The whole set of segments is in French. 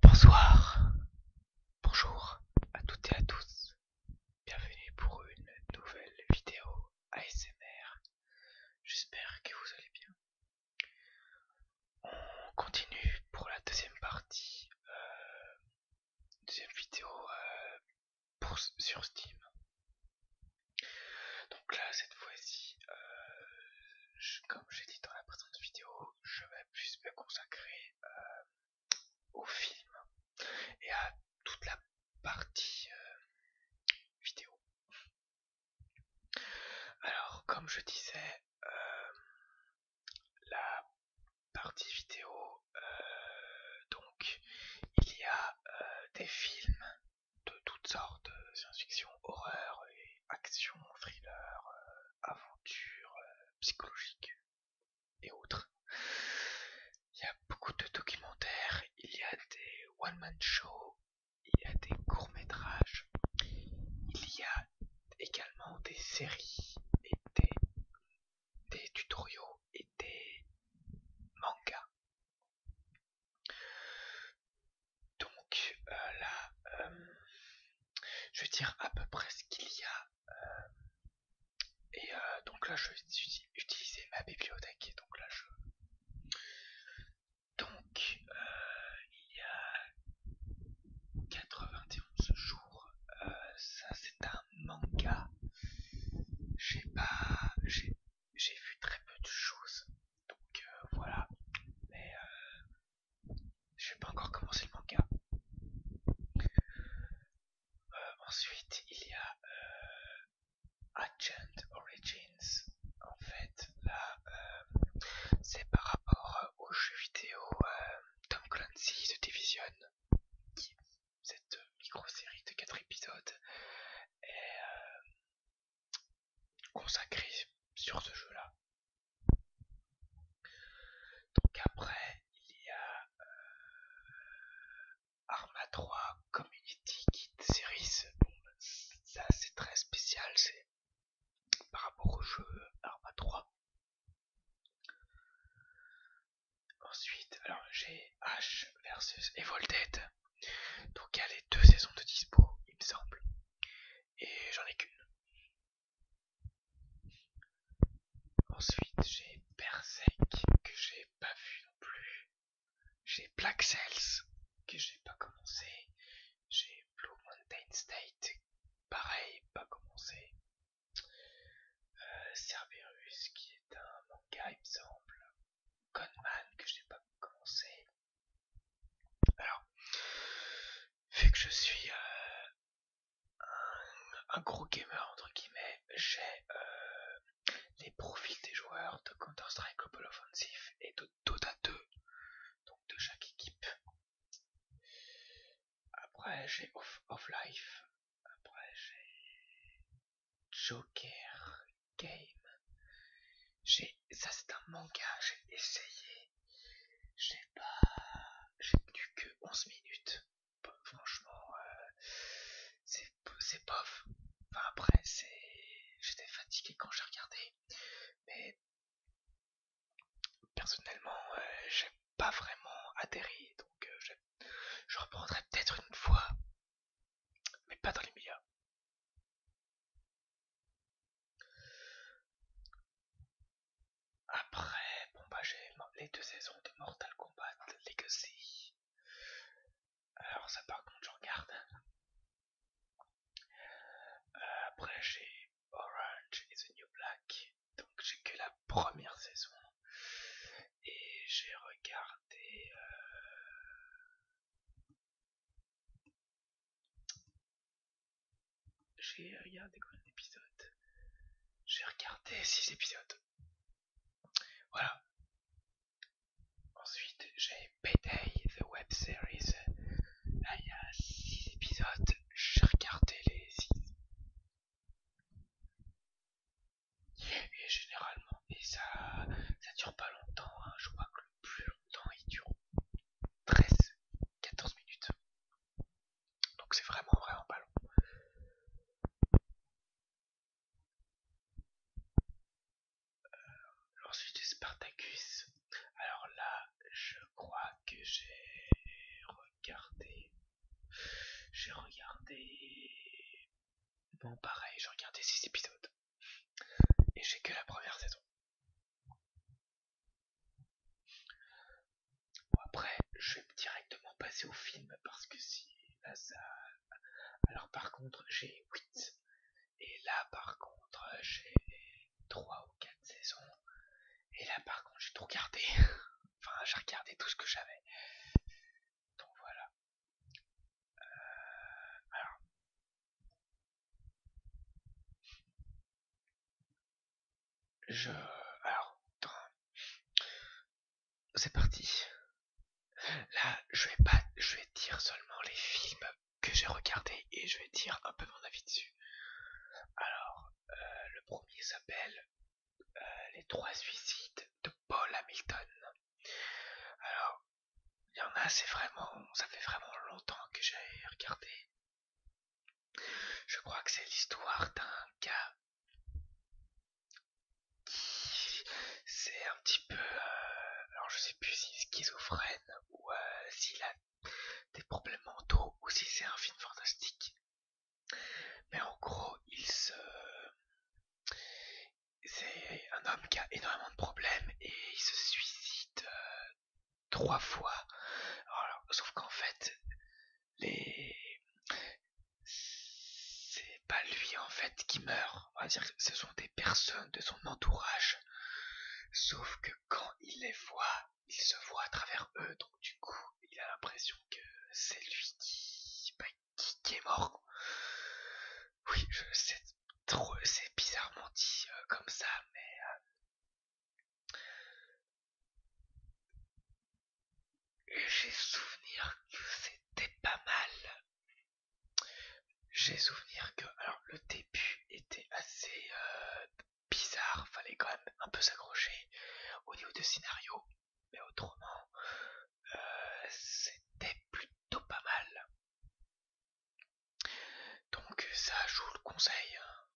Bonsoir, bonjour à toutes et à tous, bienvenue pour une nouvelle vidéo ASMR, j'espère que vous allez bien. On continue pour la deuxième partie, euh, deuxième vidéo euh, sur Steam. Donc là, cette fois-ci, euh, comme j'ai dit dans la précédente vidéo, je vais plus me consacrer euh, au film et à toute la partie euh, vidéo. Alors, comme je disais, euh, la partie vidéo, donc, il y a des films de toutes sortes, science-fiction, horreur action, thriller, aventures aventure euh, et autres. Il y a beaucoup de documentaires, il y a des one-man shows, il y a des courts-métrages, il y a également des séries et des, des tutoriaux et des mangas. Donc euh, là, euh, je vais dire à peu près ce qu'il y a. Euh, et donc là, je vais utiliser ma bibliothèque. Et donc là, je... Donc, il y a 91 jours, ça c'est un manga. J'ai pas... J'ai vu très peu de choses. Donc voilà. Mais je n'ai pas encore commencé le manga. Euh, ensuite, il y a euh, Agent Origins. En fait, là, euh, c'est par rapport au jeu vidéo Tom Clancy de Division, qui, cette micro-série de 4 épisodes, est, consacré sur ce jeu-là. Donc après, il y a euh, Arma 3 Community Kit Series. Bon, ça c'est très spécial, c'est par rapport au jeu Arma 3. Ensuite, alors j'ai H versus Evolved, Donc il y a les deux saisons de dispo, il me semble. Et j'en ai qu'une. Ensuite j'ai Berserk que j'ai pas vu non plus. J'ai Black Cells que j'ai pas commencé. J'ai Blue Mountain State, pareil, pas commencé. Euh, Cerberus qui est un manga il me semble. Conman que j'ai pas commencé. Alors, vu que je suis euh, un, gros gamer entre guillemets, j'ai euh, les profils des joueurs de Counter-Strike Global Offensive et de Dota 2, donc de chaque équipe. Après j'ai Off, Life, après j'ai Joker Game. J'ai ça c'est un manga, j'ai essayé j'ai pas, j'ai tenu que 11 minutes. Bah, franchement, euh, c'est, c'est bof. Enfin, après, c'est, j'étais fatigué quand j'ai regardé, mais personnellement, euh, j'ai pas vraiment atterri, donc euh, je, je reprendrai peut-être une fois, mais pas dans les médias. Après, bon bah, j'ai les deux saisons de Mortal Kombat Legacy. Alors ça par contre je regarde. Euh, après j'ai Orange et The New Black. Donc j'ai que la première saison. Et j'ai regardé... Euh, j'ai regardé combien d'épisodes J'ai regardé 6 épisodes. Voilà. Ensuite, j'ai Payday, The Web Series. il y a 6 épisodes. J'ai regardé les 6. Et généralement, et ça, ça dure pas longtemps. Hein. Je crois que le plus longtemps, il dure 13 14 minutes. Donc c'est vraiment vraiment pas long. Euh, l'ensuite ensuite Spartacus. Alors là, je crois que j'ai regardé. J'ai regardé. Bon pareil, j'ai regardé 6 épisodes. Et j'ai que la première saison. Bon après, je vais directement passer au film parce que si là ça... Alors par contre, j'ai 8. Et là par contre, j'ai 3 ou 4 saisons. Et là par contre, j'ai tout regardé. enfin, j'ai regardé tout ce que j'avais. Donc voilà. Euh, alors, je... Alors, c'est parti. Là, je vais pas, je vais dire seulement les films que j'ai regardés et je vais dire un peu mon avis dessus. Alors, euh, le premier s'appelle euh, Les Trois Suicides de Paul Hamilton. Alors, il y en a, c'est vraiment, ça fait vraiment longtemps que j'ai regardé je crois que c'est l'histoire d'un gars qui c'est un petit peu euh, alors je sais plus s'il est schizophrène ou euh, s'il a des problèmes mentaux ou si c'est un film fantastique. Mais en gros, il se c'est un homme qui a énormément de problèmes et il se suicide euh, trois fois. Alors, sauf qu'en fait, les... C'est pas lui en fait qui meurt. On va dire ce sont des personnes de son entourage. Sauf que quand il les voit, il se voit à travers eux. Donc du coup, il a l'impression que c'est lui qui... Bah, qui, est mort. Oui, je sais trop, c'est bizarrement dit euh, comme ça, mais euh, j'ai souvenir que c'était pas mal. J'ai souvenir que alors le début était assez euh, bizarre, fallait quand même un peu s'accrocher au niveau de scénario, mais autrement euh, c'était plutôt pas mal. Donc ça, joue vous le conseille. Hein.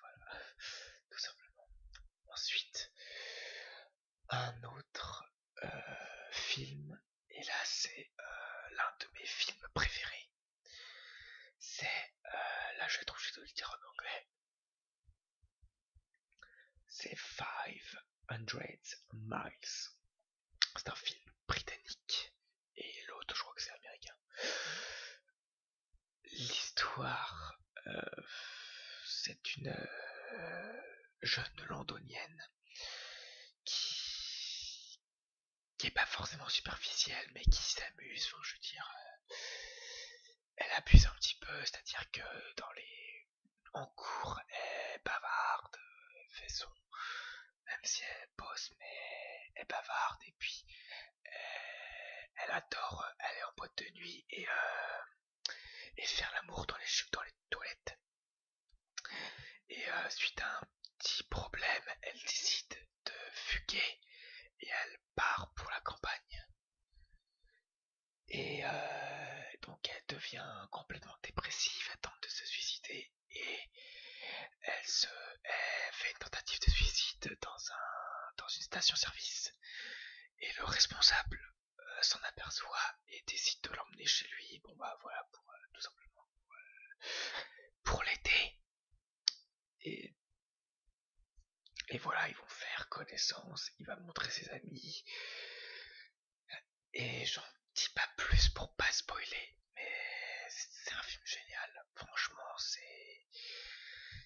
Voilà, tout simplement. Ensuite, un autre euh, film, et là c'est euh, l'un de mes films préférés. C'est, euh, là je vais trouver le dire en anglais, c'est 500 Miles. C'est un film britannique et l'autre, je crois que c'est américain. L'histoire, euh, c'est une euh, jeune londonienne qui n'est pas forcément superficielle, mais qui s'amuse. je veux dire, euh, elle abuse un petit peu, c'est-à-dire que dans les en cours, elle est bavarde, son même si elle bosse, mais elle bavarde et puis euh, elle, adore euh, aller en boîte de nuit et, euh, faire l'amour dans les, toilettes. Et suite à un petit problème, elle décide de fuguer et elle part pour la campagne. Et donc elle devient complètement dépressive, elle tente de se suicider et elle se fait une tentative de suicide dans une station-service et le responsable euh, s'en aperçoit et décide de l'emmener chez lui. Bon bah voilà pour euh, tout simplement euh, pour, l'aider et et voilà ils vont faire connaissance. Il va montrer ses amis et j'en dis pas plus pour pas spoiler, mais c'est un film génial. Franchement, c'est.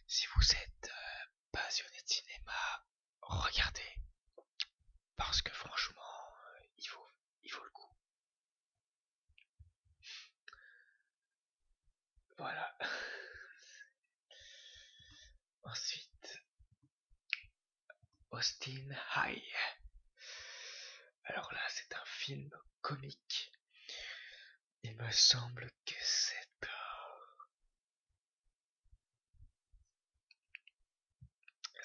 Si vous êtes euh, passionné de cinéma, regardez. Parce que franchement, euh, il, il vaut le coup. Voilà. Ensuite, Austin High. Alors là, c'est un film comique. Il me semble que c'est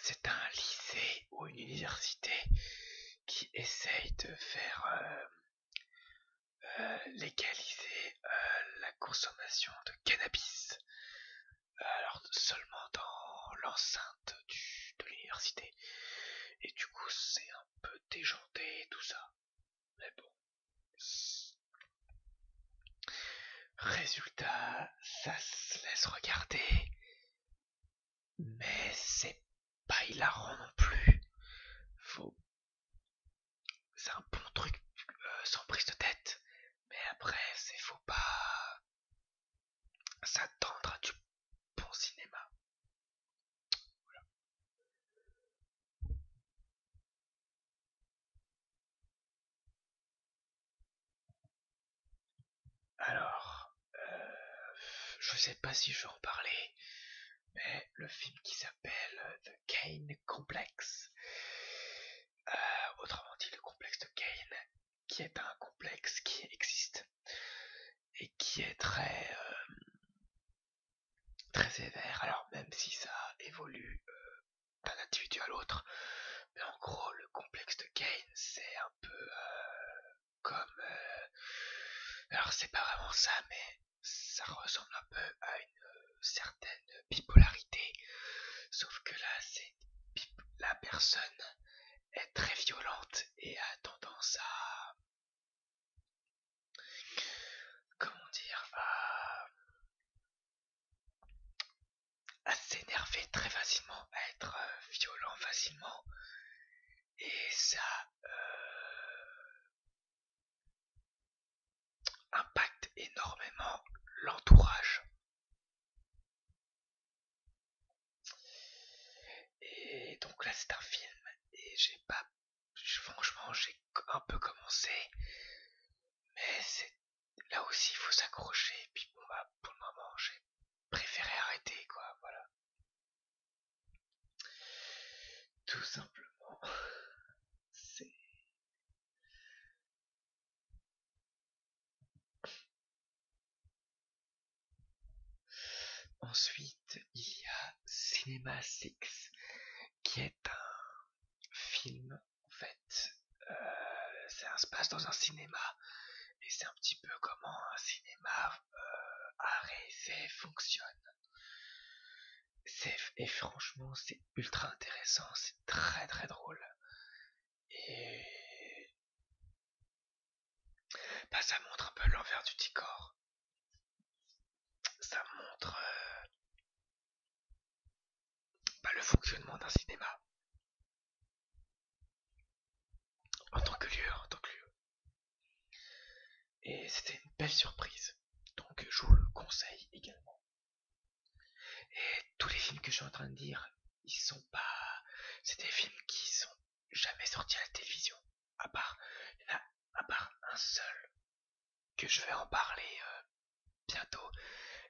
c'est un lycée ou une université qui essaye de faire euh, euh, légaliser euh, la consommation de cannabis alors seulement dans l'enceinte de l'université. Et du coup, c'est un peu déjanté tout ça. Mais bon. Résultat, ça se laisse regarder. Mais c'est pas hilarant non plus. Faut. C'est un bon truc euh, sans prise de tête. Mais après, c'est faux pas s'attendre à du bon cinéma. Alors, euh, je sais pas si je vais en parler, mais le film qui s'appelle euh, The Kane Complex, euh, autrement dit le complexe de Kane, qui est un complexe qui existe et qui est très euh, très sévère. Alors même si ça évolue euh, d'un individu à l'autre, mais en gros le complexe de Gain c'est un peu euh, comme alors c'est pas vraiment ça, mais ça ressemble un peu à une certaine bipolarité, sauf que là c'est la personne est très violente et a tendance à comment dire à, s'énerver très facilement, à être euh, violent facilement et ça euh, impacte énormément l'entourage et donc là c'est un film et j'ai pas... Franchement j'ai un peu commencé mais c'est... Là aussi il faut s'accrocher et puis bon bah, pour le moment j'ai préféré arrêter quoi voilà. Tout simplement c'est... Ensuite, il y a Cinema 6, qui est un film, en fait, C'est euh, un se passe dans un cinéma. Et c'est un petit peu comment un cinéma euh, à fonctionne. Et franchement, c'est ultra intéressant, c'est très très drôle. Et bah, ça montre un peu l'envers du décor. Ça montre euh, bah, le fonctionnement d'un cinéma. En tant que lieu, en tant que lieu. Et c'était une belle surprise. Donc je vous le conseille également. Et tous les films que je suis en train de dire, ils sont pas. C'est des films qui sont jamais sortis à la télévision. À part, il y en a, à part un seul que je vais en parler euh, bientôt.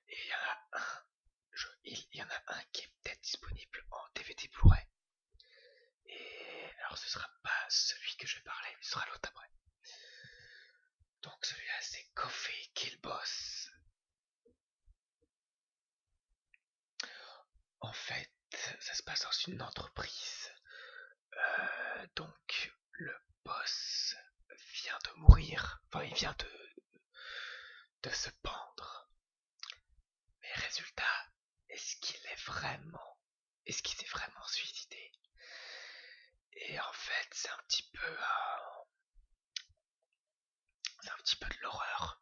Et il y en a un, il, y en a un qui est peut-être disponible en DVD Blu-ray. Et alors ce sera pas celui que je vais parler, ce sera l'autre après. Donc celui-là c'est Coffee Kill Boss. En fait, ça se passe dans une entreprise. Euh, donc, le boss vient de mourir. Enfin, il vient de, de se pendre. Mais résultat, est-ce qu'il est vraiment, est-ce qu'il s'est vraiment suicidé Et en fait, c'est un petit peu c'est un petit peu de l'horreur.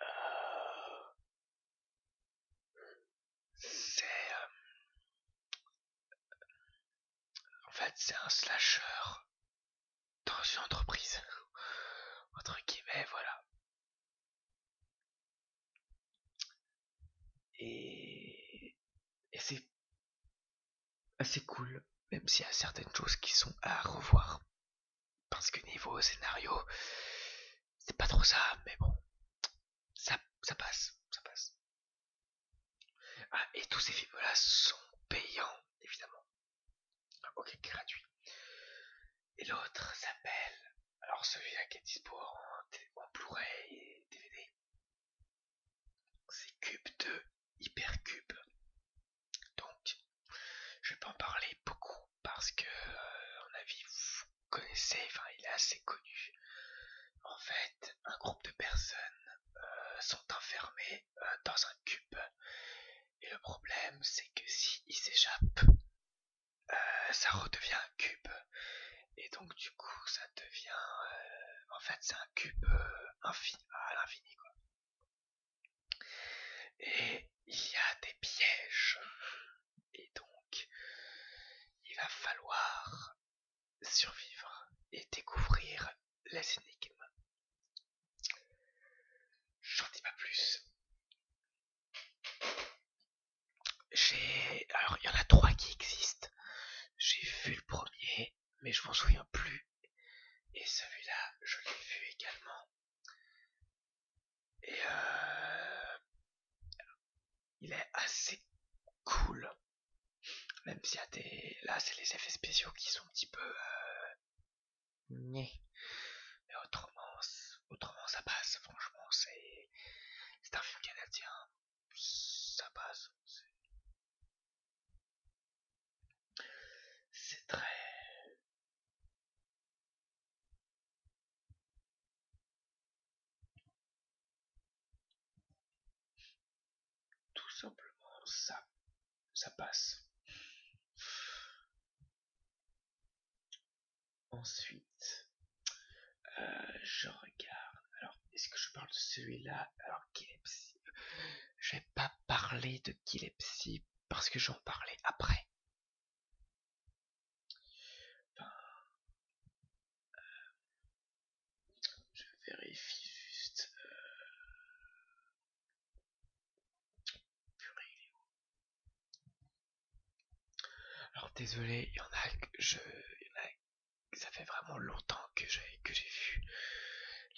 Euh, c'est. Euh, en fait, c'est un slasher dans une entreprise. Entre guillemets, voilà. Et, et c'est assez cool, même s'il y a certaines choses qui sont à revoir. Parce que niveau scénario, c'est pas trop ça, mais bon, ça, ça passe, ça passe. Ah, et tous ces films-là sont payants, évidemment. Ah, ok, gratuit. Et l'autre s'appelle, alors celui-là qui est dispo en Blu-ray et DVD, c'est Cube 2. Hypercube. Donc, je vais pas en parler beaucoup parce que, euh, mon en avis, vous connaissez, enfin, il est assez connu. En fait, un groupe de personnes euh, sont enfermées euh, dans un cube. Et le problème, c'est que si ils s'échappent, ça redevient un cube. Et donc, du coup, ça devient. en fait, c'est un cube infini, à l'infini, quoi. Et il y a des pièges. Et donc, il va falloir survivre et découvrir les énigmes. J'en dis pas plus. J'ai. Alors, il y en a trois qui existent. J'ai vu le premier mais, je m'en souviens plus. Et celui-là, je l'ai vu également. Et euh, il est assez cool. Même s'il y a des... Là, c'est les effets spéciaux qui sont un petit peu... Euh... Mais autrement, autrement, ça passe. Franchement, c'est... C'est un film canadien. Ça passe. C'est très... Tout simplement, ça, ça passe. Ensuite, euh, je regarde. Alors, est-ce que je parle de celui-là Alors, que Je vais pas parler de Kilepsy parce que j'en parlais après. Euh, je vérifie juste. Euh, Alors désolé, il y en a que je. ça fait vraiment longtemps que j'ai que j'ai vu.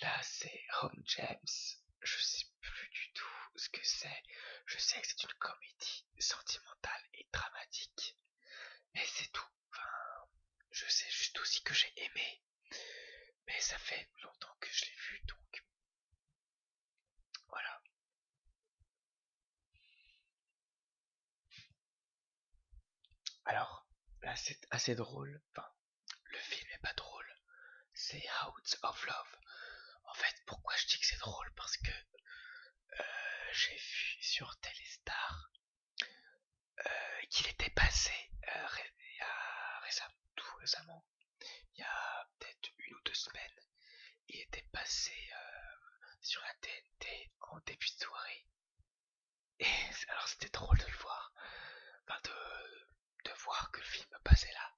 Là, c'est Home James. Je sais plus du tout ce que c'est. Je sais que c'est une comédie sentimentale et dramatique. Mais c'est tout. Enfin, je sais juste aussi que j'ai aimé. Mais ça fait longtemps que je l'ai vu, donc voilà. Alors, là c'est assez drôle, enfin le film est pas drôle, c'est Out of Love. En fait, pourquoi je dis que c'est drôle Parce que euh, j'ai vu sur Telestar euh, qu'il était passé euh, récemment, il y a peut-être une ou deux semaines, il était passé sur la TNT en début de soirée alors c'était drôle de le voir, de, voir que le film passait là.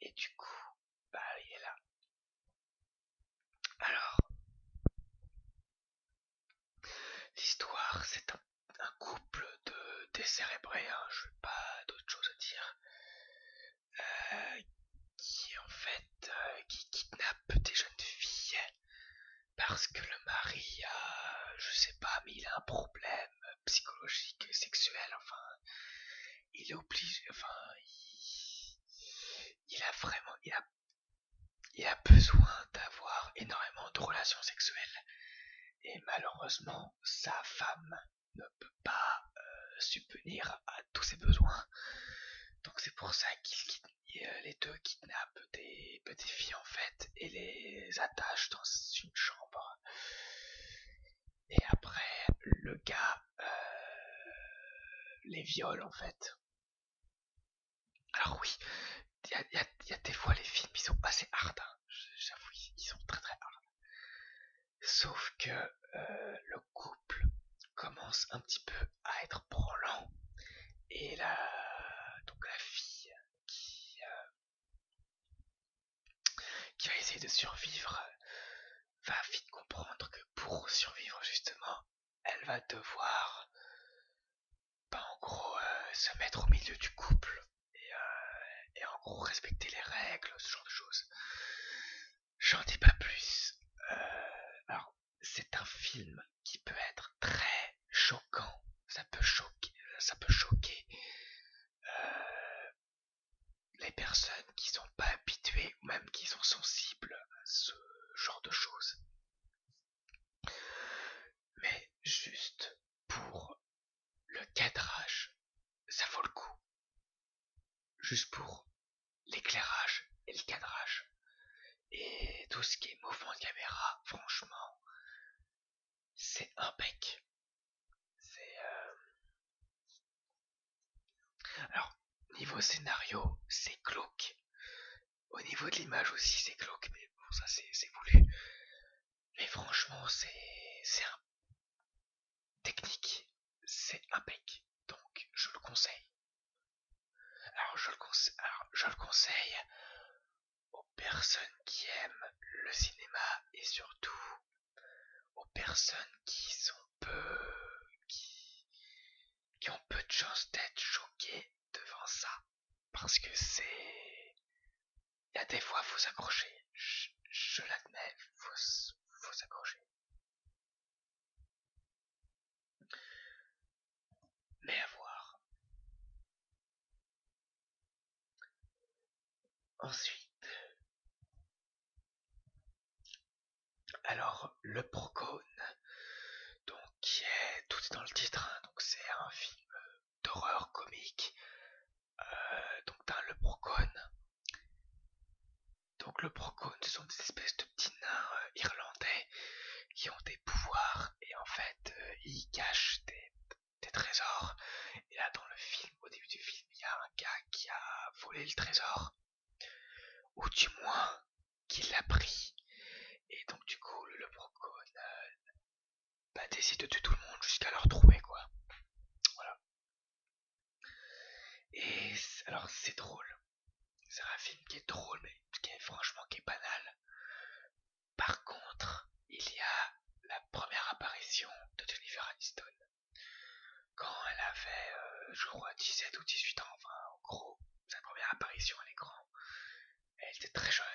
Et du coup, bah il est là. Alors, l'histoire, c'est un, couple de décérébrés, hein, je je vais pas d'autre chose à dire, euh, qui en fait, euh, qui kidnappe des jeunes filles parce que le mari a, je sais pas, mais il a un problème psychologique, sexuel, enfin, il est obligé, enfin, il, a vraiment, il a, besoin d'avoir énormément de relations sexuelles. Et malheureusement, sa femme ne peut pas euh, subvenir à tous ses besoins. Donc c'est pour ça qu'il euh, les deux kidnappent des petites filles en fait et les attache dans une chambre. Et après, le gars euh, les viole en fait. Alors oui, il y, a, des fois les films, ils sont assez hard, hein. j'avoue, ils sont très très hard. Sauf que euh, le couple commence un petit peu à être brûlant et la, donc la fille qui, euh, qui va essayer de survivre va vite comprendre que pour survivre justement, elle va devoir bah, en gros euh, se mettre au milieu du couple euh, et, en gros respecter les règles, ce genre de choses. J'en dis pas plus. Euh, alors c'est un film qui peut être très choquant, ça peut choquer, ça peut choquer euh, les personnes qui sont pas habituées ou même qui sont sensibles à ce genre de choses. Mais juste pour le cadrage, ça vaut le coup. Juste pour l'éclairage et le cadrage. Et tout ce qui est mouvement de caméra, franchement, c'est impeccable C'est. Euh, alors, niveau scénario, c'est cloque. Au niveau de l'image aussi, c'est cloque, mais bon, ça c'est voulu. Mais franchement, c'est. C'est un... Technique, c'est impeccable Donc, je le conseille. Alors, je le, conseille Alors, je le conseille aux personnes qui aiment le cinéma et surtout aux personnes qui sont peu... qui, ont peu de chances d'être choquées devant ça. Parce que c'est... Il y a des fois, faut s'accrocher. Je, l'admets, vous faut s'accrocher. Mais à voir. Ensuite. Alors, le Procone, donc qui est tout dans le titre, hein, donc c'est un film d'horreur comique. Euh, donc le Procone. Donc le Procone, ce sont des espèces de petits nains euh, irlandais qui ont des pouvoirs et en fait euh, ils cachent des des trésors. Et là, dans le film, au début du film, il y a un gars qui a volé le trésor. Ou du moins, qui l'a pris. Et donc, du coup, le, procon euh, bah, décide de tuer tout le monde jusqu'à leur trouver, quoi. Voilà. Et alors, c'est drôle. C'est un film qui est drôle, mais qui est franchement qui est banal. Par contre, il y a la première apparition de Jennifer Aniston. Quand elle avait, euh, je crois, 17 ou 18 ans, enfin, en gros, sa première apparition à l'écran, elle était très jeune.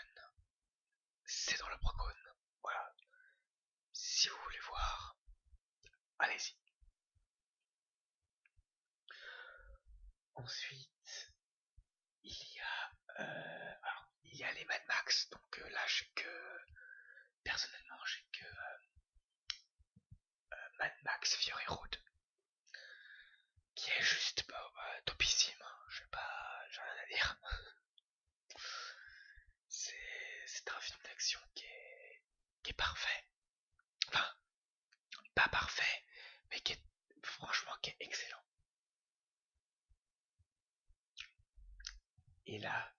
C'est dans le Procone, Voilà. Si vous voulez voir, allez-y. Ensuite, il y a, euh, il y a les Mad Max, donc euh, là que, personnellement, j'ai que euh, Mad Max Fury Road, qui est juste bah, topissime, hein, je sais pas, j'ai rien à dire. C'est un film d'action qui est, qui est parfait, enfin, pas parfait, mais qui est franchement qui est excellent. Et là,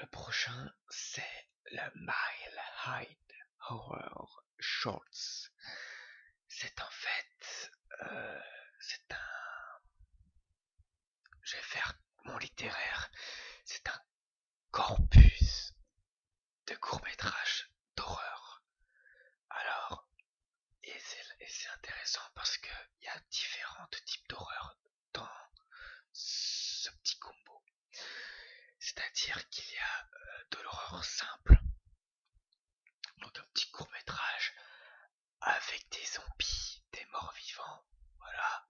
le prochain, c'est le Mile High Horror Shorts. C'est en fait, euh, c'est un, je vais faire mon littéraire, c'est un corpus de courts-métrages d'horreur. Alors, et c'est intéressant parce que il y a différents types d'horreur dans ce petit combo. C'est-à-dire qu'il y a euh, de l'horreur simple, donc un petit court métrage avec des zombies, des morts vivants, voilà.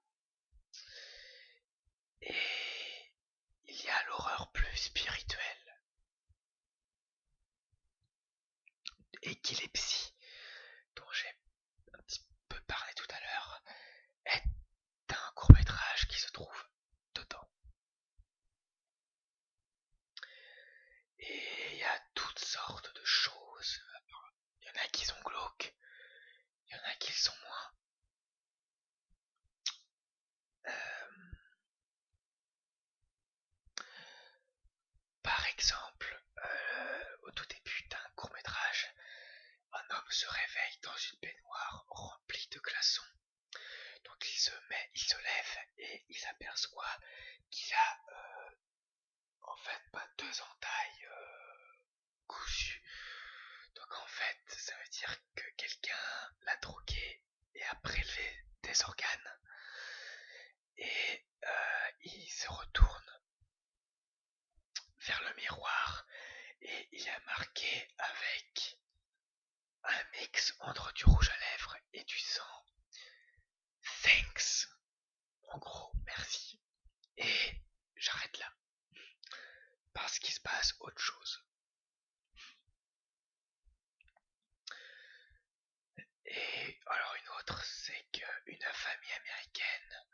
Et il y a l'horreur plus spirituelle, épilepsie dont j'ai un petit peu parlé tout à l'heure est un court métrage qui se trouve dedans. Et il y a toutes sortes de choses. Il y en a qui sont glauques, il y en a qui sont moins. Euh, par exemple, euh, au tout début d'un court métrage, un homme se réveille dans une baignoire remplie de glaçons. Donc il se met, il se lève et il aperçoit qu'il a euh, en fait pas deux entailles Donc en fait, ça veut dire que quelqu'un l'a drogué et a prélevé des organes. Et euh, il se retourne vers le miroir et il a marqué avec un mix entre du rouge à lèvres et du sang. Thanks. En gros, merci. Et j'arrête là. Parce qu'il se passe autre chose. Et alors une autre, c'est qu'une famille américaine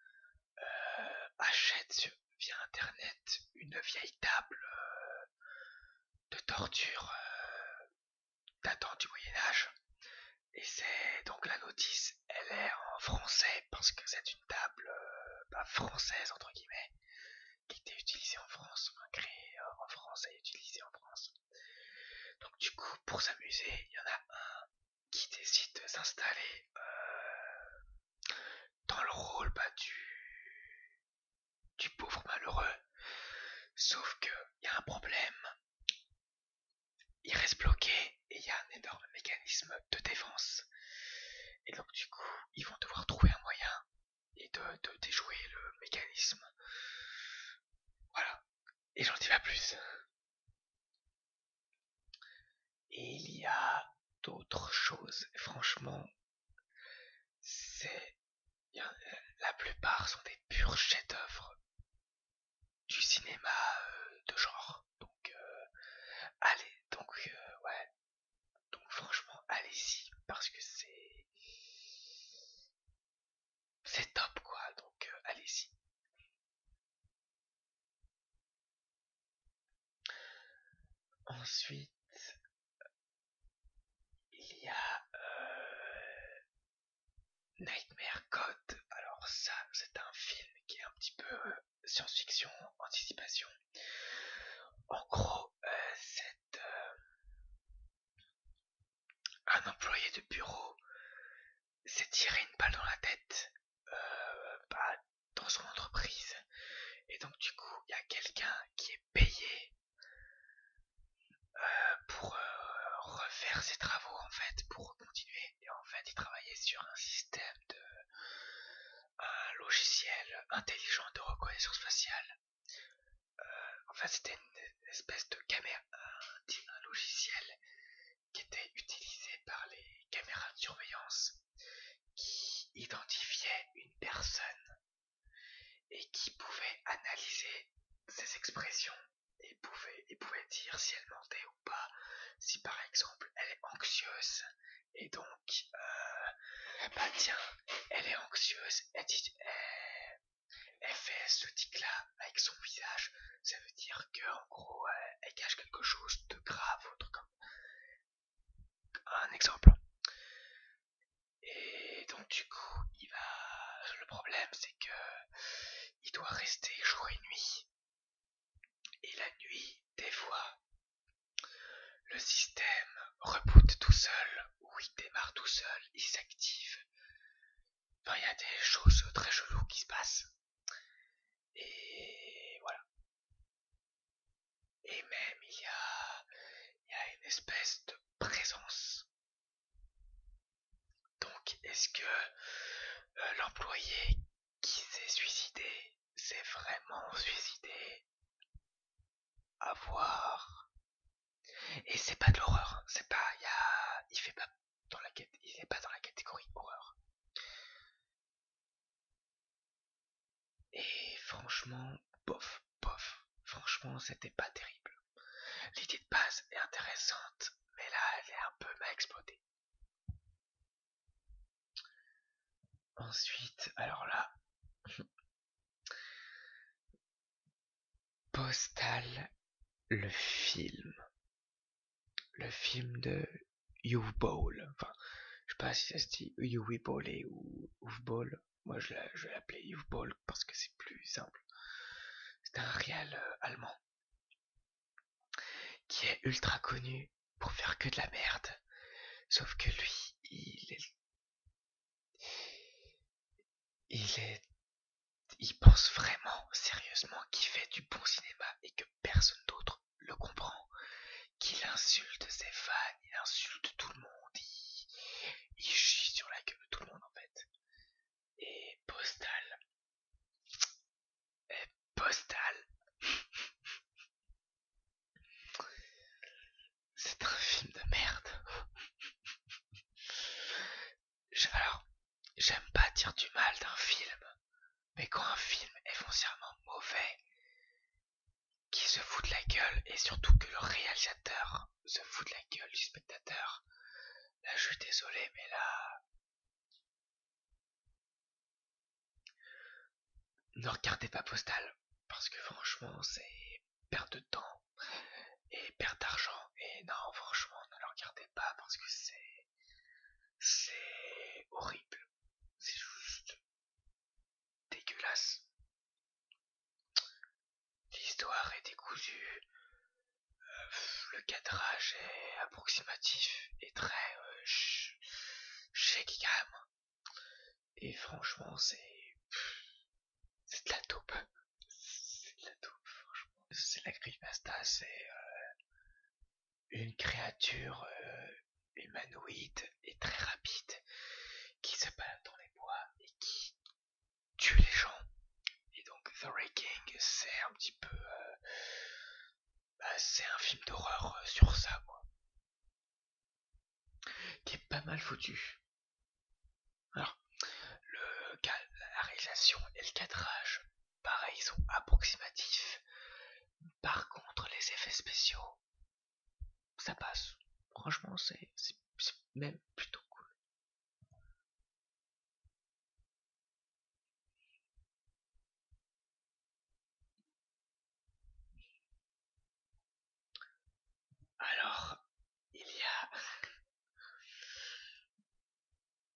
euh, achète via Internet une vieille table euh, de torture euh, datant du Moyen Âge. Et c'est donc la notice, elle est en français parce que c'est une table bah, française entre guillemets qui était utilisé en France, créé euh, en France et utilisé en France. Donc du coup, pour s'amuser, il y en a un qui décide de s'installer euh, dans le rôle battu du pauvre malheureux. Sauf qu'il y a un problème. Il reste bloqué et il y a un énorme mécanisme de défense. Et donc du coup, ils vont devoir trouver un moyen et de, déjouer le mécanisme. Voilà. Et j'en dis pas plus. Et il y a d'autres choses. Franchement, c'est. La plupart sont des purs chefs-d'œuvre du cinéma euh, de genre. Donc, euh, allez, donc, euh, ouais, donc franchement, allez-y parce que c'est c'est top quoi. Donc euh, allez-y. Ensuite, il y a euh, Nightmare Code. Alors ça, c'est un film qui est un petit peu euh, science-fiction, anticipation. En gros, cette, un employé de bureau s'est tiré une balle dans la tête euh, bah, dans son entreprise. Et donc du coup, il y a quelqu'un qui est payé euh, pour euh, refaire ses travaux en fait, pour continuer. Et en fait, il travaillait sur un système de un logiciel intelligent de reconnaissance faciale euh, enfin, c'était une espèce de caméra, euh, logiciel qui était utilisé par les caméras de surveillance qui identifiait une personne et qui pouvait analyser ses expressions et pouvait, dire si elle mentait ou pas, si par exemple elle est anxieuse et donc euh, bah tiens elle est anxieuse elle, fait euh, ce tic-là avec son visage. Ça veut dire qu'en gros, euh, elle, cache quelque chose de grave, autre comme un exemple. Et donc du coup, il va. Le problème, c'est que il doit rester jour et nuit. Et la nuit, des fois, le système reboot tout seul où il démarre tout seul, il s'active. Enfin, il y a des choses très cheloues qui se passent. Et voilà. Et même, il y a, une espèce de présence. Donc, est-ce que euh, l'employé qui s'est suicidé s'est vraiment suicidé à voir. Et c'est pas de l'horreur, c'est pas, il fait pas dans la il est pas dans la catégorie horreur. Et franchement, bof, bof. Franchement, c'était pas terrible. L'idée de base est intéressante, mais là, elle est un peu mal explodé. Ensuite, alors là, Postal, le film. Le film de Uwe Ball. Enfin, je sais pas si ça se dit ou ou Moi, je l'appelais l'appeler parce que c'est plus simple. C'est un réel euh, allemand qui est ultra connu pour faire que de la merde. Sauf que lui, il est il est. Il pense vraiment, sérieusement, qu'il fait du bon cinéma et que personne d'autre le comprend. Qu'il insulte ses fans, il insulte tout le monde, il, il chie sur la gueule de tout le monde en fait. Et Postal. Et Postal. C'est un film de merde. alors, j'aime pas dire du mal d'un film, mais quand un film est foncièrement mauvais, qui se fout de la gueule, et surtout que le réalisateur se fout de la gueule du spectateur, là je suis désolé, mais là... Ne regardez pas Postal, parce que franchement, c'est perte de temps et perte d'argent. Et non, franchement, ne le regardez pas parce que c'est. C'est horrible. C'est juste dégueulasse. L'histoire est décousue. Euh, le cadrage est approximatif et très euh, quand et franchement, c'est. C'est de la taupe. C'est de la taupe, franchement. C'est la grimace c'est. Euh, une créature euh, humanoïde et très rapide qui se balade dans les bois et qui tue les gens. Et donc, The Raking, c'est un petit peu. Euh, bah, c'est un film d'horreur sur ça, moi qui est pas mal foutu. Alors, la réalisation et le cadrage, pareil, ils sont approximatifs. Par contre, les effets spéciaux, ça passe. Franchement, c'est même plutôt cool. Alors, il y a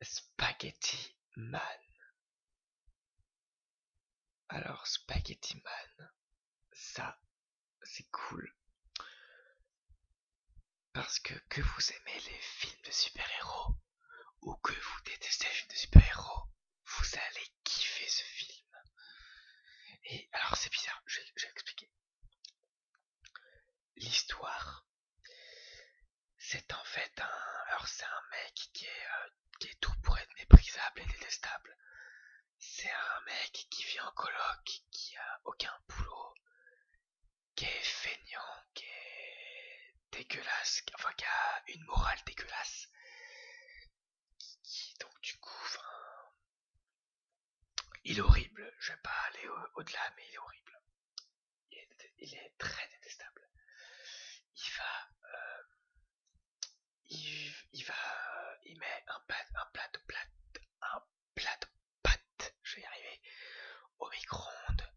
Spaghetti Man. Alors, Spaghetti Man, ça, c'est cool. Parce que que vous aimez les films de super-héros ou que vous détestez les films de super-héros, vous allez qui fait ce film. Et alors c'est bizarre, je vais, expliquer. L'histoire, c'est en fait un... Alors c'est un mec qui est, euh, qui est tout pour être méprisable et détestable. C'est un mec qui vit en coloc, qui a aucun boulot, qui est feignant, qui est dégueulasse, enfin qui a une morale dégueulasse. Qui, donc du coup, il est horrible. Je vais pas aller au-delà, mais il est horrible. Il est, très détestable. Il va, euh, il, va, il met un plat, un plat de plat, un plat de pâte. Je vais y arriver. Au micro-ondes,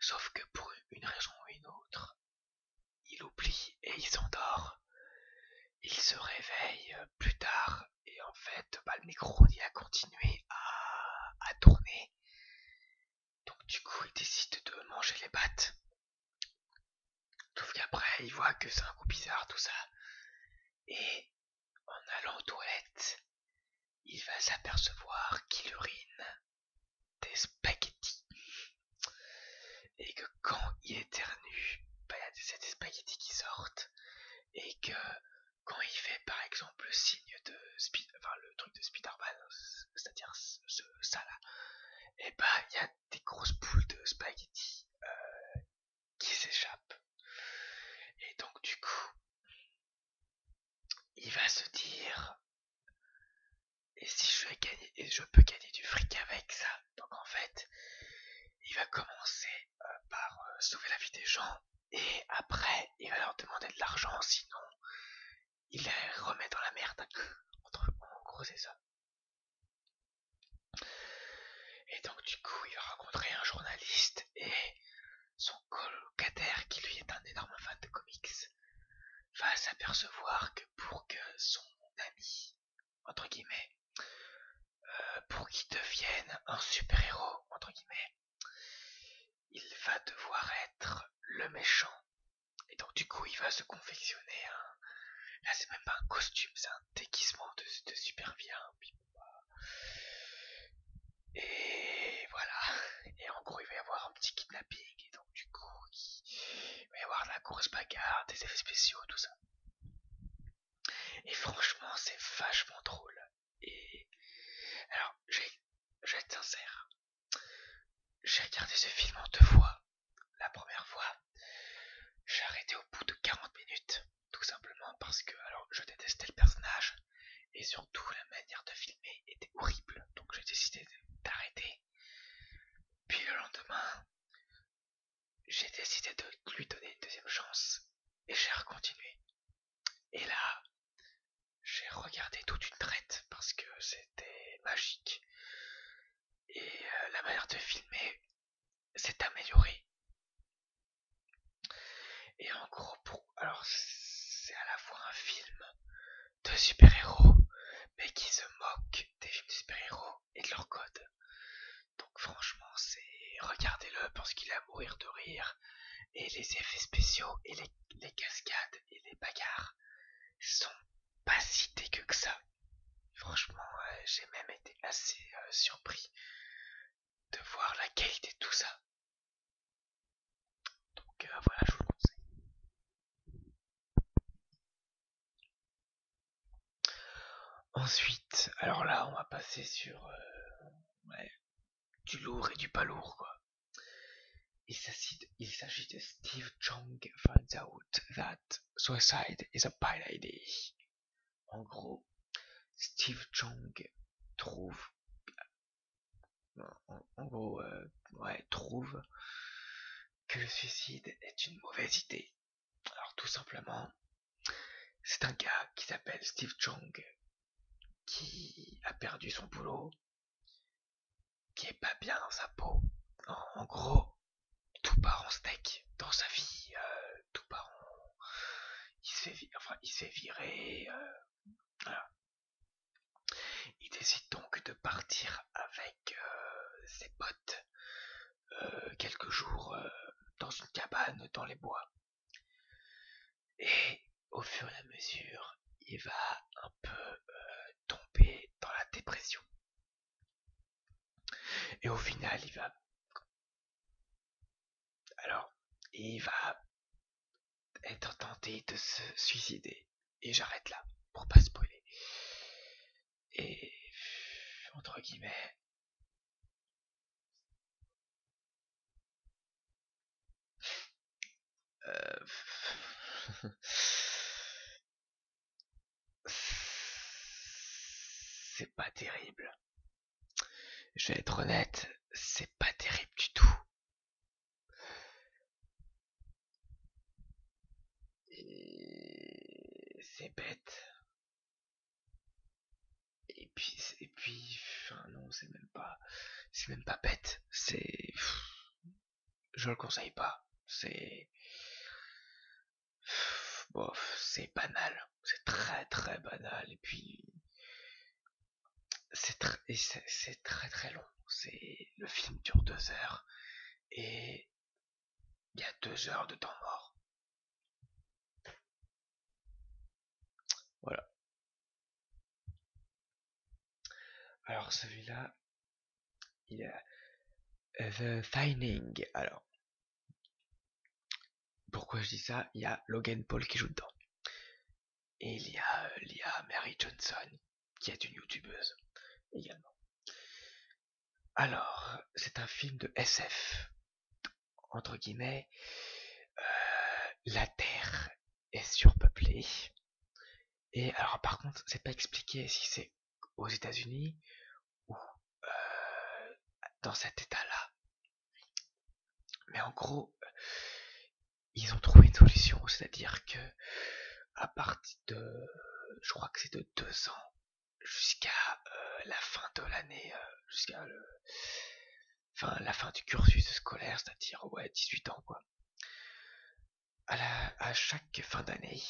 sauf que pour une raison ou une autre, il oublie et il s'endort. Il se réveille euh, plus tard et en fait bah, le micro il a continué à, tourner. Donc du coup il décide de manger les pattes. Sauf qu'après il voit que c'est un coup bizarre tout ça. Et en allant aux toilettes, il va s'apercevoir qu'il urine des spaghettis. Et que quand il éternue, bah, il y a des spaghettis qui sortent et que quand il fait par exemple le signe de enfin le truc de Spider-Man, c'est-à-dire ça là, et eh bah il y a des grosses boules de spaghettis euh, qui s'échappent. Et donc du coup, il va se dire et si je, vais et je peux gagner du fric avec ça, donc en fait, il va commencer euh, par euh, sauver la vie des gens et après il va leur demander de l'argent, sinon il les remet dans la merde. Entre, gros, et ça. Et donc du coup, il va rencontrer un journaliste et son colocataire, qui lui est un énorme fan de comics, va s'apercevoir que pour que son ami entre guillemets, euh, pour qu'il devienne un super-héros, entre guillemets, il va devoir être le méchant. Et donc du coup, il va se confectionner un... Là, c'est même pas un costume, c'est un déguisement de, super-vilain. Hein, bah. Et voilà. Et en gros, il va y avoir un petit kidnapping. Et donc du coup, il va y avoir la course bagarre, des effets spéciaux, tout ça. Et franchement, c'est vachement drôle. Et alors, je vais être sincère. J'ai regardé ce film en deux fois. La première fois, j'ai arrêté au bout de 40 minutes, tout simplement parce que alors je détestais le personnage et surtout la manière de filmer était horrible. Donc j'ai décidé d'arrêter. Puis le lendemain, j'ai décidé de lui donner une deuxième chance et j'ai recontinué. Et là, j'ai regardé toute une traite parce que c'était magique. Et euh, la manière de filmer s'est améliorée. Et en gros, pour... alors c'est à la fois un film de super-héros, mais qui se moque des films de super-héros et de leur code. Donc franchement, c'est regardez-le parce qu'il a mourir de rire. Et les effets spéciaux et les, cascades et les bagarres sont pas si dégueux que ça. Franchement, euh, j'ai même été assez euh, surpris de voir la qualité de tout ça. Donc euh, voilà, je vous le conseille. Ensuite, alors là, on va passer sur euh, du lourd et du pas lourd, Il s'agit de Steve Chong finds out that suicide is a bad idea. En gros, Steve Chong trouve, en, gros, euh, trouve que le suicide est une mauvaise idée. Alors tout simplement, c'est un gars qui s'appelle Steve jung qui a perdu son boulot, qui est pas bien dans sa peau. En, gros, tout part en steak dans sa vie, euh, tout part en... Il s'est viré. il euh, voilà. Il décide donc de partir avec euh, ses potes euh, quelques jours euh, dans une cabane dans les bois. Et au fur et à mesure, il va un peu euh, tomber dans la dépression. Et au final, il va... Alors, il va être tenté de se suicider. Et j'arrête là, pour pas spoiler et entre guillemets euh. c'est pas terrible. Je vais être honnête, c'est pas terrible du tout. Et... C'est bête. Et puis, et puis, non, c'est même pas, c'est même pas bête. C'est, je le conseille pas. C'est, bof, c'est banal. C'est très très banal. Et puis, c'est très, très long. C'est le film dure deux heures et il y a deux heures de temps mort. Voilà. Alors celui-là, il a euh, The Finding. Alors, pourquoi je dis ça Il y a Logan Paul qui joue dedans. Et il y a euh, Mary Johnson, qui est une youtubeuse également. Alors, c'est un film de SF. Entre guillemets, euh, la Terre est surpeuplée. Et alors, par contre, c'est pas expliqué si c'est aux États-Unis ou euh, dans cet état-là. Mais en gros, ils ont trouvé une solution, c'est-à-dire que à partir de, je crois que c'est de deux ans, jusqu'à euh, la fin de l'année, euh, jusqu'à la fin du cursus scolaire, c'est-à-dire 18 ans quoi. À, chaque fin d'année,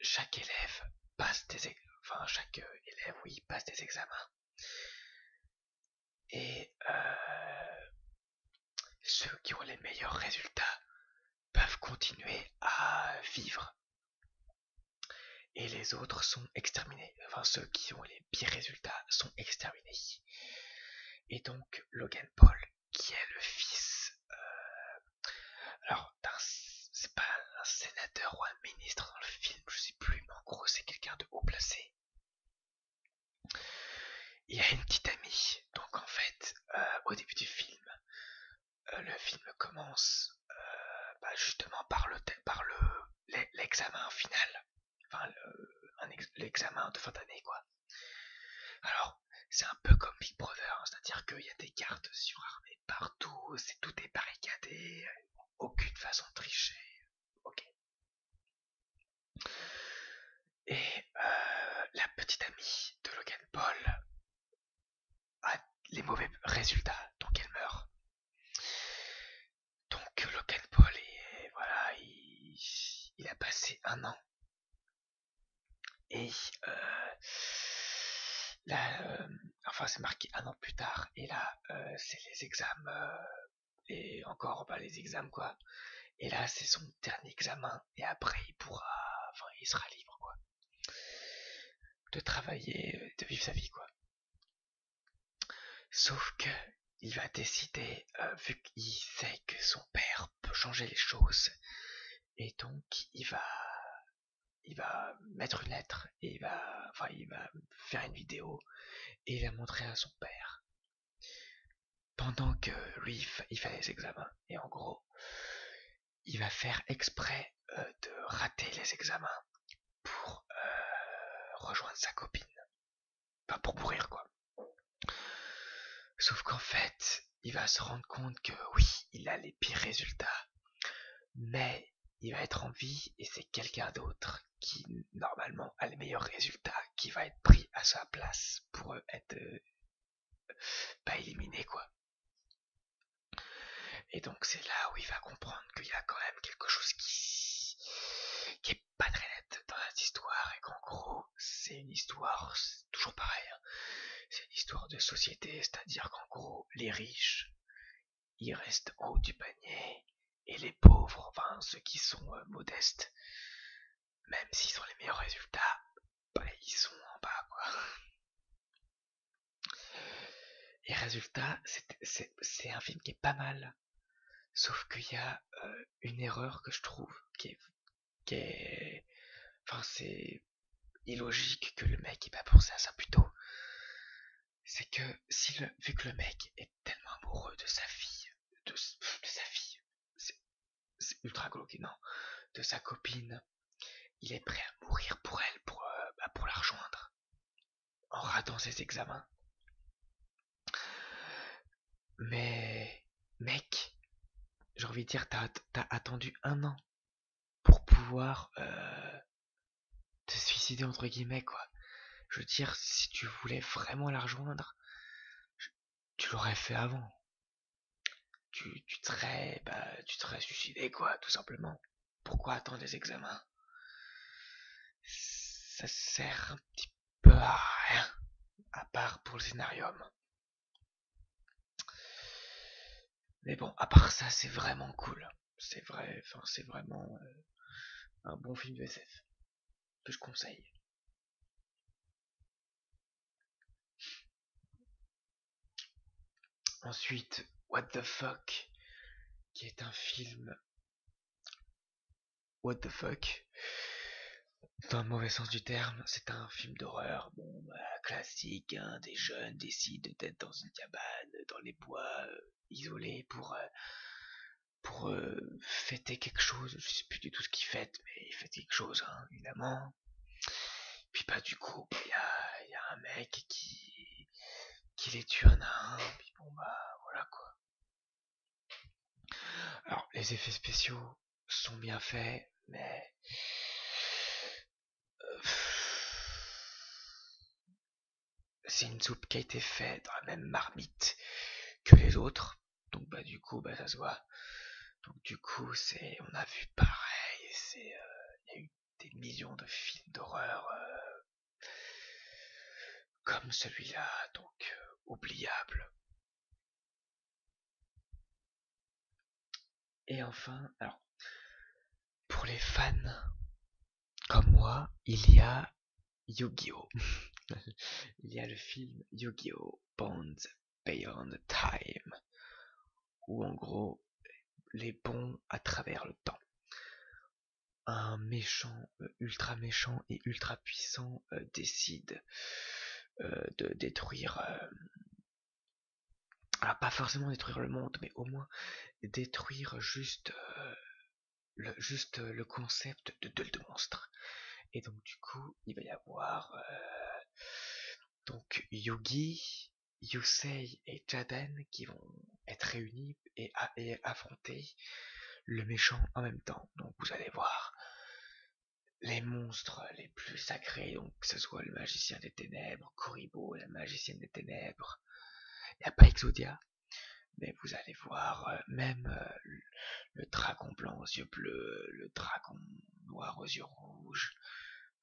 chaque élève passe des chaque euh, élève oui passe des examens. Et ceux qui ont les meilleurs résultats peuvent continuer à vivre. Et les autres sont exterminés. Enfin, ceux qui ont les pires résultats sont exterminés. Et donc, Logan Paul, qui est le fils euh, alors alors c'est pas un sénateur ou un ministre dans le film, je sais plus, mais en gros c'est quelqu'un de haut placé. Il a une petite amie, donc en fait, euh, au début du film, euh, le film commence euh, bah, justement par le par le l'examen final, enfin l'examen de fin d'année quoi. Alors c'est un peu comme Big Brother, hein, c'est-à-dire qu'il y a des cartes surarmées partout, c'est tout est barricadé, aucune façon de tricher. Ok. Et euh, la petite amie de Logan Paul ah, les mauvais résultats, donc elle meurt. Donc Logan Paul, et voilà, il, a passé un an. Et euh, là, euh, enfin c'est marqué un an plus tard, et là euh, c'est les examens, et encore pas bah, les examens quoi. Et là c'est son dernier examen, et après il pourra, enfin il sera libre quoi de travailler, euh, de vivre sa vie, quoi. Sauf que il va décider, euh, vu qu'il sait que son père peut changer les choses, et donc il va, il va mettre une lettre, et il va, enfin, il va faire une vidéo, et la montrer à son père. Pendant que lui, il fait les examens, et en gros, il va faire exprès euh, de rater les examens pour euh, rejoindre sa copine. Pas pour mourir, quoi. Sauf qu'en fait, il va se rendre compte que oui, il a les pires résultats, mais il va être en vie et c'est quelqu'un d'autre qui, normalement, a les meilleurs résultats, qui va être pris à sa place pour euh, être pas éliminé, quoi. Et donc c'est là où il va comprendre qu'il y a quand même quelque chose qui, n'est est pas très net dans cette histoire et qu'en gros c'est une histoire toujours pareil. Hein. C'est une histoire de société, c'est-à-dire qu'en gros les riches ils restent haut du panier et les pauvres, enfin ceux qui sont euh, modestes, même s'ils ont les meilleurs résultats, bah, ils sont en bas quoi. Et résultat, c'est un film qui est pas mal. Sauf qu'il y a euh, une erreur que je trouve qui est. Enfin, c'est illogique que le mec ait pas pensé à ça plutôt. C'est que, vu que le mec est tellement amoureux de sa fille, de, sa fille, c'est ultra glauque, de sa copine, il est prêt à mourir pour elle, euh, bah, pour, la rejoindre, en ratant ses examens. Mais, mec, j'ai envie de dire, t'as attendu un an pour pouvoir euh, te suicider, entre guillemets, quoi. Je veux dire, si tu voulais vraiment la rejoindre, tu l'aurais fait avant tu, tu t'aurais bah, tu suicidé quoi, tout simplement. Pourquoi attendre les examens Ça sert un petit peu à rien, à part pour le scénarium. Mais bon, à part ça, c'est vraiment cool. C'est vrai, enfin, c'est vraiment euh, un bon film de SF que je conseille. Ensuite, What the Fuck, qui est un film What the Fuck, dans le mauvais sens du terme, c'est un film d'horreur, bon, bah, classique, hein, des jeunes décident d'être dans une cabane, dans les bois, euh, isolés, pour, euh, pour euh, fêter quelque chose, je sais plus du tout ce qu'ils fêtent, mais ils fêtent quelque chose, hein, évidemment, puis bah du coup, il y a, un mec qui, qui les tue un à un, puis bon bah voilà quoi. Alors les effets spéciaux sont bien faits, mais... Euh, c'est une soupe qui a été faite dans la même marmite que les autres, donc bah du coup bah ça se voit. Donc du coup, c'est, on a vu pareil, c'est, euh, il y a eu des millions de films d'horreur euh, comme celui-là, donc euh, oubliable. Et enfin, pour les fans comme moi, il y a Yu-Gi-Oh! il y a le film Yu-Gi-Oh! Bonds Beyond Time, ou en gros les bons à travers le temps. Un méchant, euh, ultra méchant et ultra puissant euh, décide euh, de détruire, ah, pas forcément détruire le monde, mais au moins détruire juste le, concept de deux de monstre. Et donc du coup, il va y avoir donc Yogi Yusei et Jaden qui vont être réunis et, affronter le méchant en même temps. Donc vous allez voir les monstres les plus sacrés, donc que ce soit le magicien des ténèbres, Koribo, la magicienne des ténèbres, il n'y a pas Exodia, mais vous allez voir euh, même euh, le dragon blanc aux yeux bleus, le dragon noir aux yeux rouges,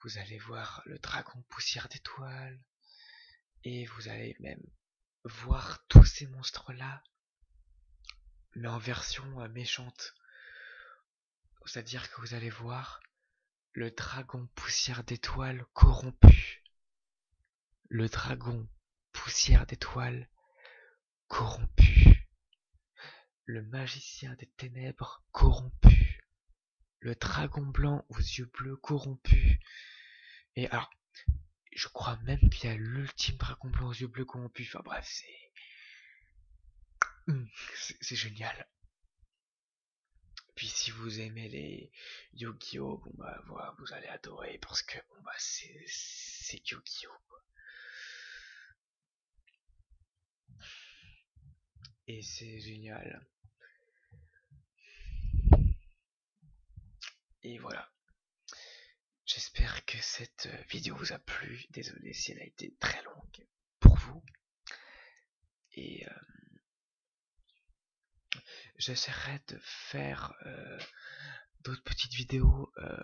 vous allez voir le dragon poussière d'étoiles, et vous allez même voir tous ces monstres-là, mais en version euh, méchante. C'est-à-dire que vous allez voir le dragon poussière d'étoiles corrompu. Le dragon poussière d'étoiles corrompu le magicien des ténèbres corrompu, le dragon blanc aux yeux bleus corrompus Et alors, je crois même qu'il y a l'ultime dragon blanc aux yeux bleus corrompu. Enfin bref, hum, c'est. génial. Puis si vous aimez les Yu-Gi-Oh, bon bah voilà, vous allez adorer parce que bon bah c'est Yu-Gi-Oh. Et c'est génial. Et voilà. J'espère que cette vidéo vous a plu. Désolé si elle a été très longue pour vous. Et euh, j'essaierai de faire euh, d'autres petites vidéos euh,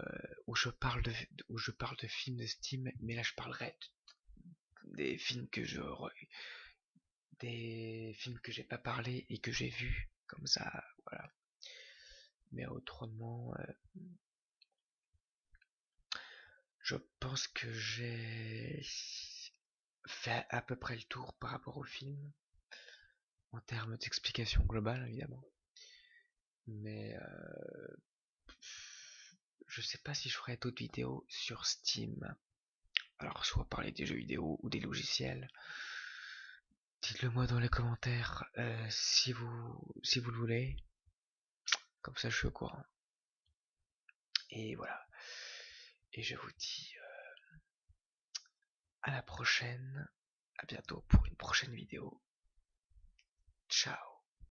où je parle de où je parle de films de Steam, mais là je parlerai de des films que j'aurais, des films que j'ai pas parlé et que j'ai vu, comme ça voilà mais autrement euh, je pense que j'ai fait à peu près le tour par rapport au film en termes d'explication globale évidemment mais euh, je sais pas si je ferai d'autres vidéos sur Steam. Alors soit parler des jeux vidéo ou des logiciels. Dites-le moi dans les commentaires euh, si vous le voulez. Comme ça je suis au courant. Et voilà. Et je vous dis euh, à la prochaine. À bientôt pour une prochaine vidéo. Ciao